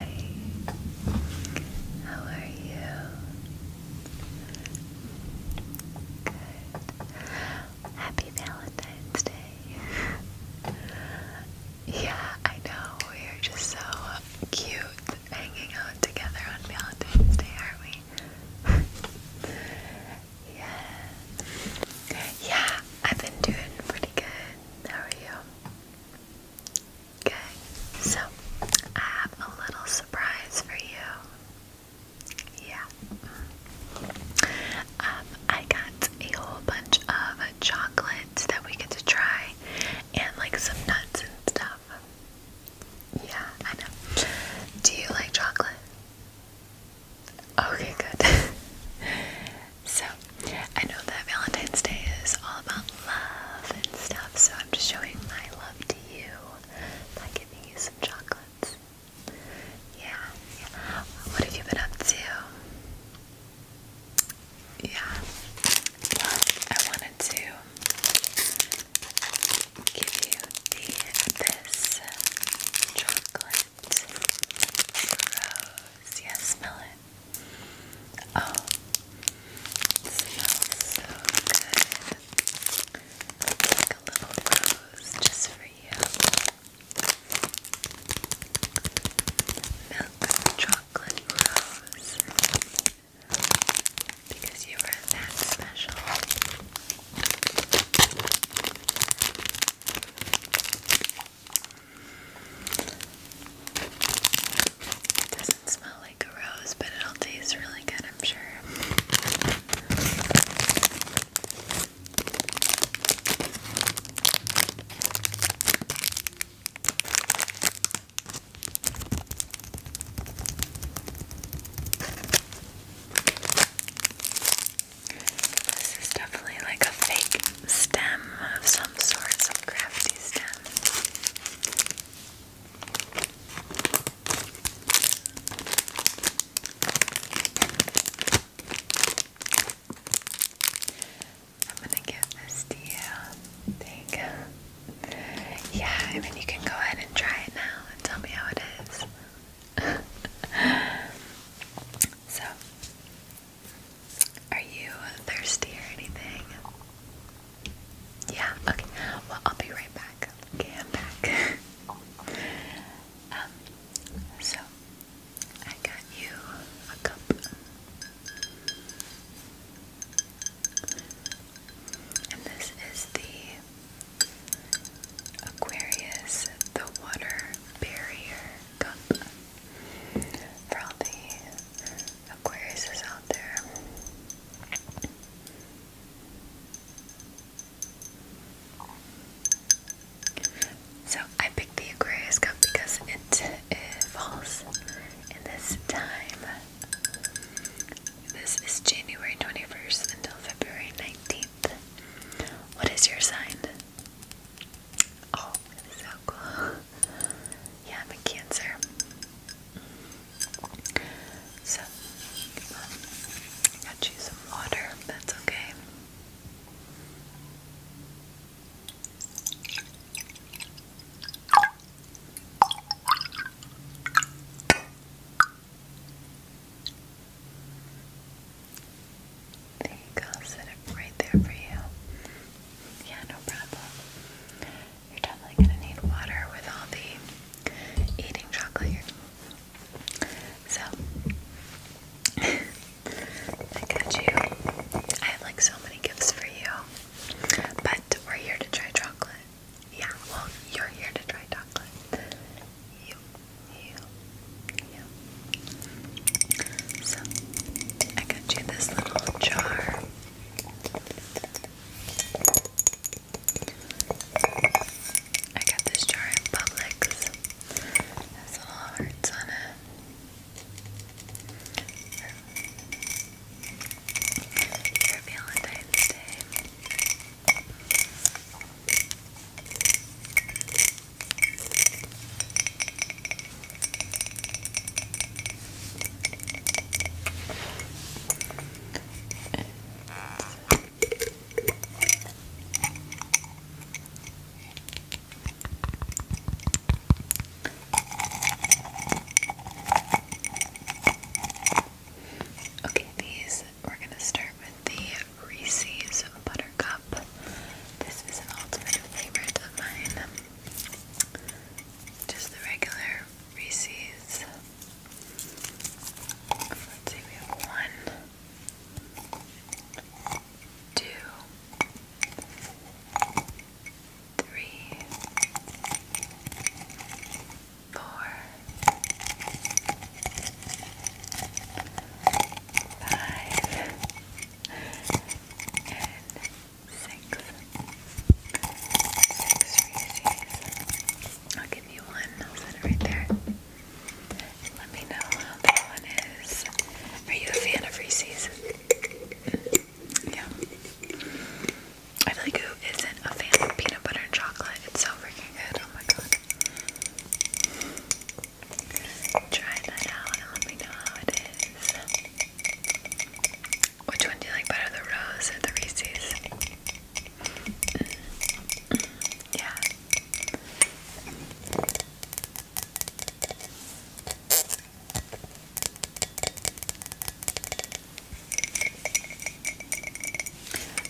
how are you? Good. Happy Valentine's Day. yeah, I know. We are just so cute hanging out together on Valentine's Day, aren't we? yeah. Yeah, I've been doing pretty good. How are you? Okay, so I have a little surprise for you. Yeah. Um, I got a whole bunch of chocolate that we get to try and like some nuts and stuff. Yeah, I know. Do you like chocolate? Okay, good. So, I know that Valentine's Day is all about love and stuff, so I'm just showing my love to you by giving you some chocolates. Yeah, What have you been up to? Yeah. Well, I wanted to give you this chocolate rose. Yeah, smell Oh, it smells so good. Like a little rose just for you. Milk chocolate rose. Because you were that special. It doesn't smell like a rose, but it all tastes really good, I'm sure. This is definitely like a fake stem of some sort, some crafty stem. I'm gonna give this to you. There you Yeah, I mean, you can go ahead and try it now and tell me how it is. so, are you thirsty or anything? Yeah, okay. Well, I'll be right back. Okay, I'm back. Um, so, I got you a cup. And this is the Aquarius the Water Barrier Cup for all the Aquarius is out there. So I picked the Aquarius cup because it, falls in this time. This is January 21st until February 19th. What is your sign? Oh, so cool. Yeah, I'm a Cancer. So, um, got you some water. That's okay. There you go, set it right there for you. Yeah, no problem. You're definitely gonna need water with all the eating chocolate here. So I got you. I have like so many gifts for you. But we're here to try chocolate. Yeah, well you're here to try chocolate. You, you, you. So I got you this little jar. I got this jar in Publix. It has little hearts on it. For Valentine's Day. Okay, these we're gonna start with the Reese's Buttercup. This is an ultimate favorite of mine. Just the regular Reese's. Let's see, one, two, three, four, five, and six. I'll give you one. I'll set it right there. Let me know how that one is. Are you a fan of Reese's? Yeah. I feel like who isn't a fan of peanut butter and chocolate? It's so freaking good. Oh my god. Try that out and let me know how it is. Which one do you like better, the rose or the Reese's? Mm. yeah.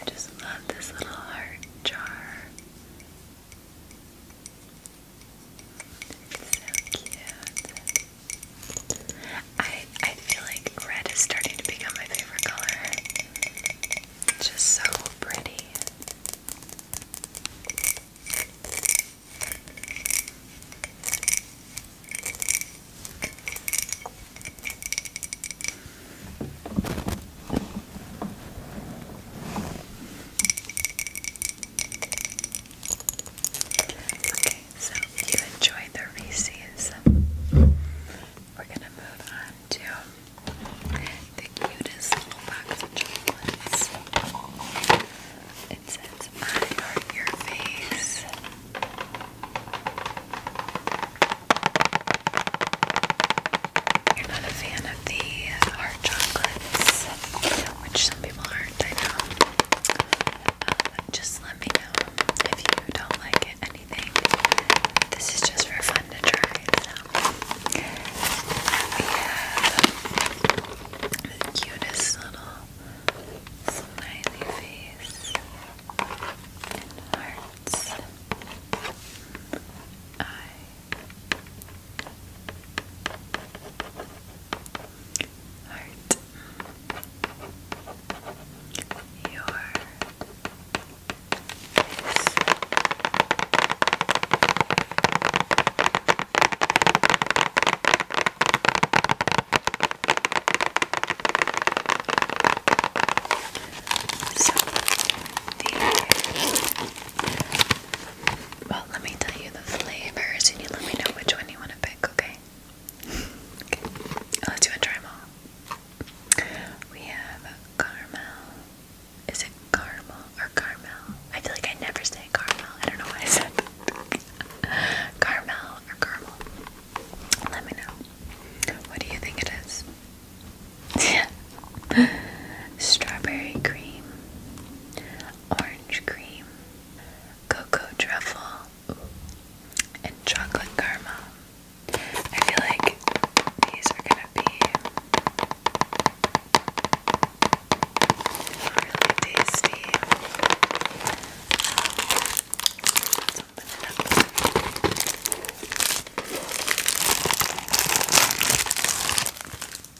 I just love this little heart jar. I I feel like red is starting to become my favorite color. It's just so pretty. Okay, so if you enjoyed the Reese's, we're gonna move on to the cutest little box of chocolates. It says, I heart your face. You're not a fan of the hard chocolates, which some people are. I know. Um, just let me know if you don't like it, anything. This is just for fun to try. We have the cutest little smiley face and hearts. I heart, your face. So the well, let me tell you the flavors and you let me know which one you want to pick, okay? okay. let you do a try them all. We have caramel. Is it caramel or caramel? I feel like I never say caramel. I don't know why I said caramel or caramel. Let me know. What do you think it is? Strawberry cream, orange cream, cocoa truffle, and chocolate caramel. I feel like these are gonna be really tasty.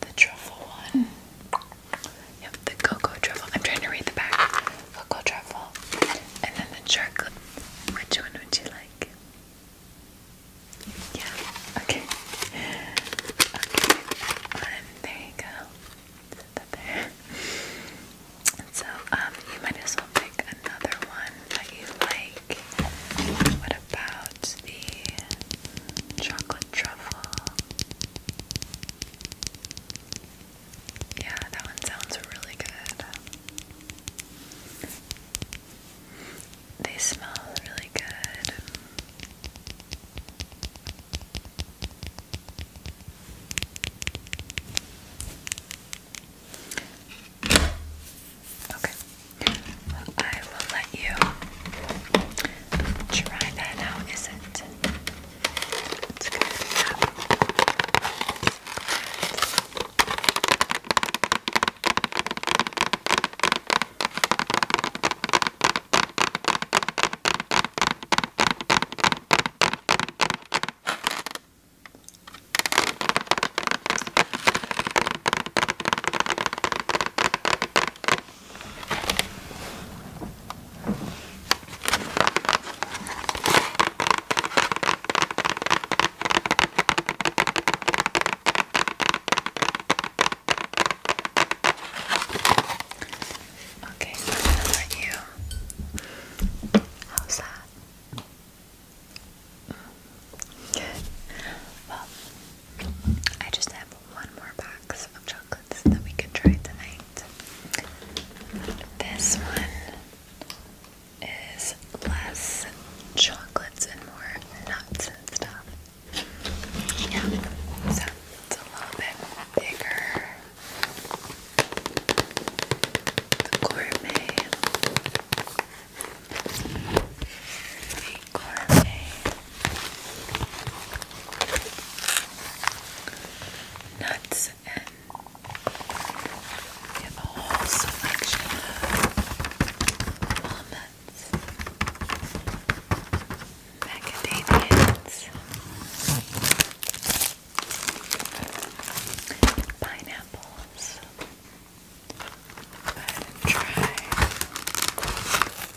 The truffle one. Yep, the cocoa truffle. I'm trying to read the back. Cocoa truffle. And then the chocolate. Which one would you like? Yeah, okay. There you go. So, um, you might as well pick another one that you like. What about the chocolate truffle. Yeah, that one sounds really good. They smell really good. Okay. I will let you dry that out, is it? It's good Okay, so I'm gonna let you. How's that? Good. Well, I just have one more box of chocolates that we can try tonight. This one is less chocolates and more nuts and stuff. Yeah, so it's a little bit bigger. gourmet. gourmet nuts and a whole selection of walnuts, macadamias, pineapples. Go try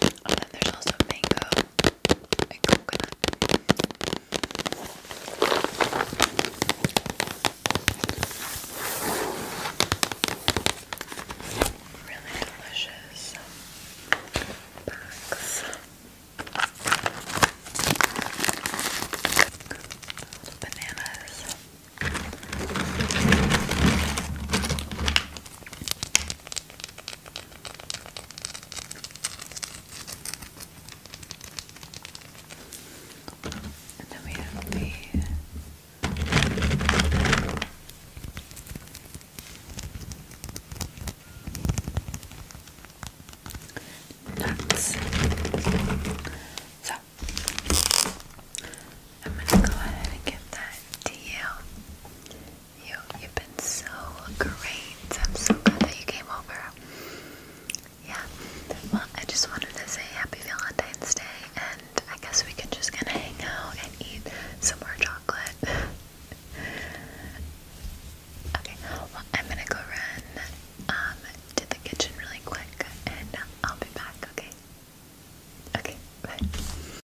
And then there's also mango and coconut. Really delicious bags. Bananas. And then we have the nuts. So I'm gonna go ahead and give that to you. You, you've been so great. I'm so glad that you came over. Yeah. Well, I just wanted to say happy Valentine's Day, and I guess we can just kind of hang out and eat some more chocolate. okay. Well, I'm gonna go run um, to the kitchen really quick, and I'll be back. Okay. Okay. Bye.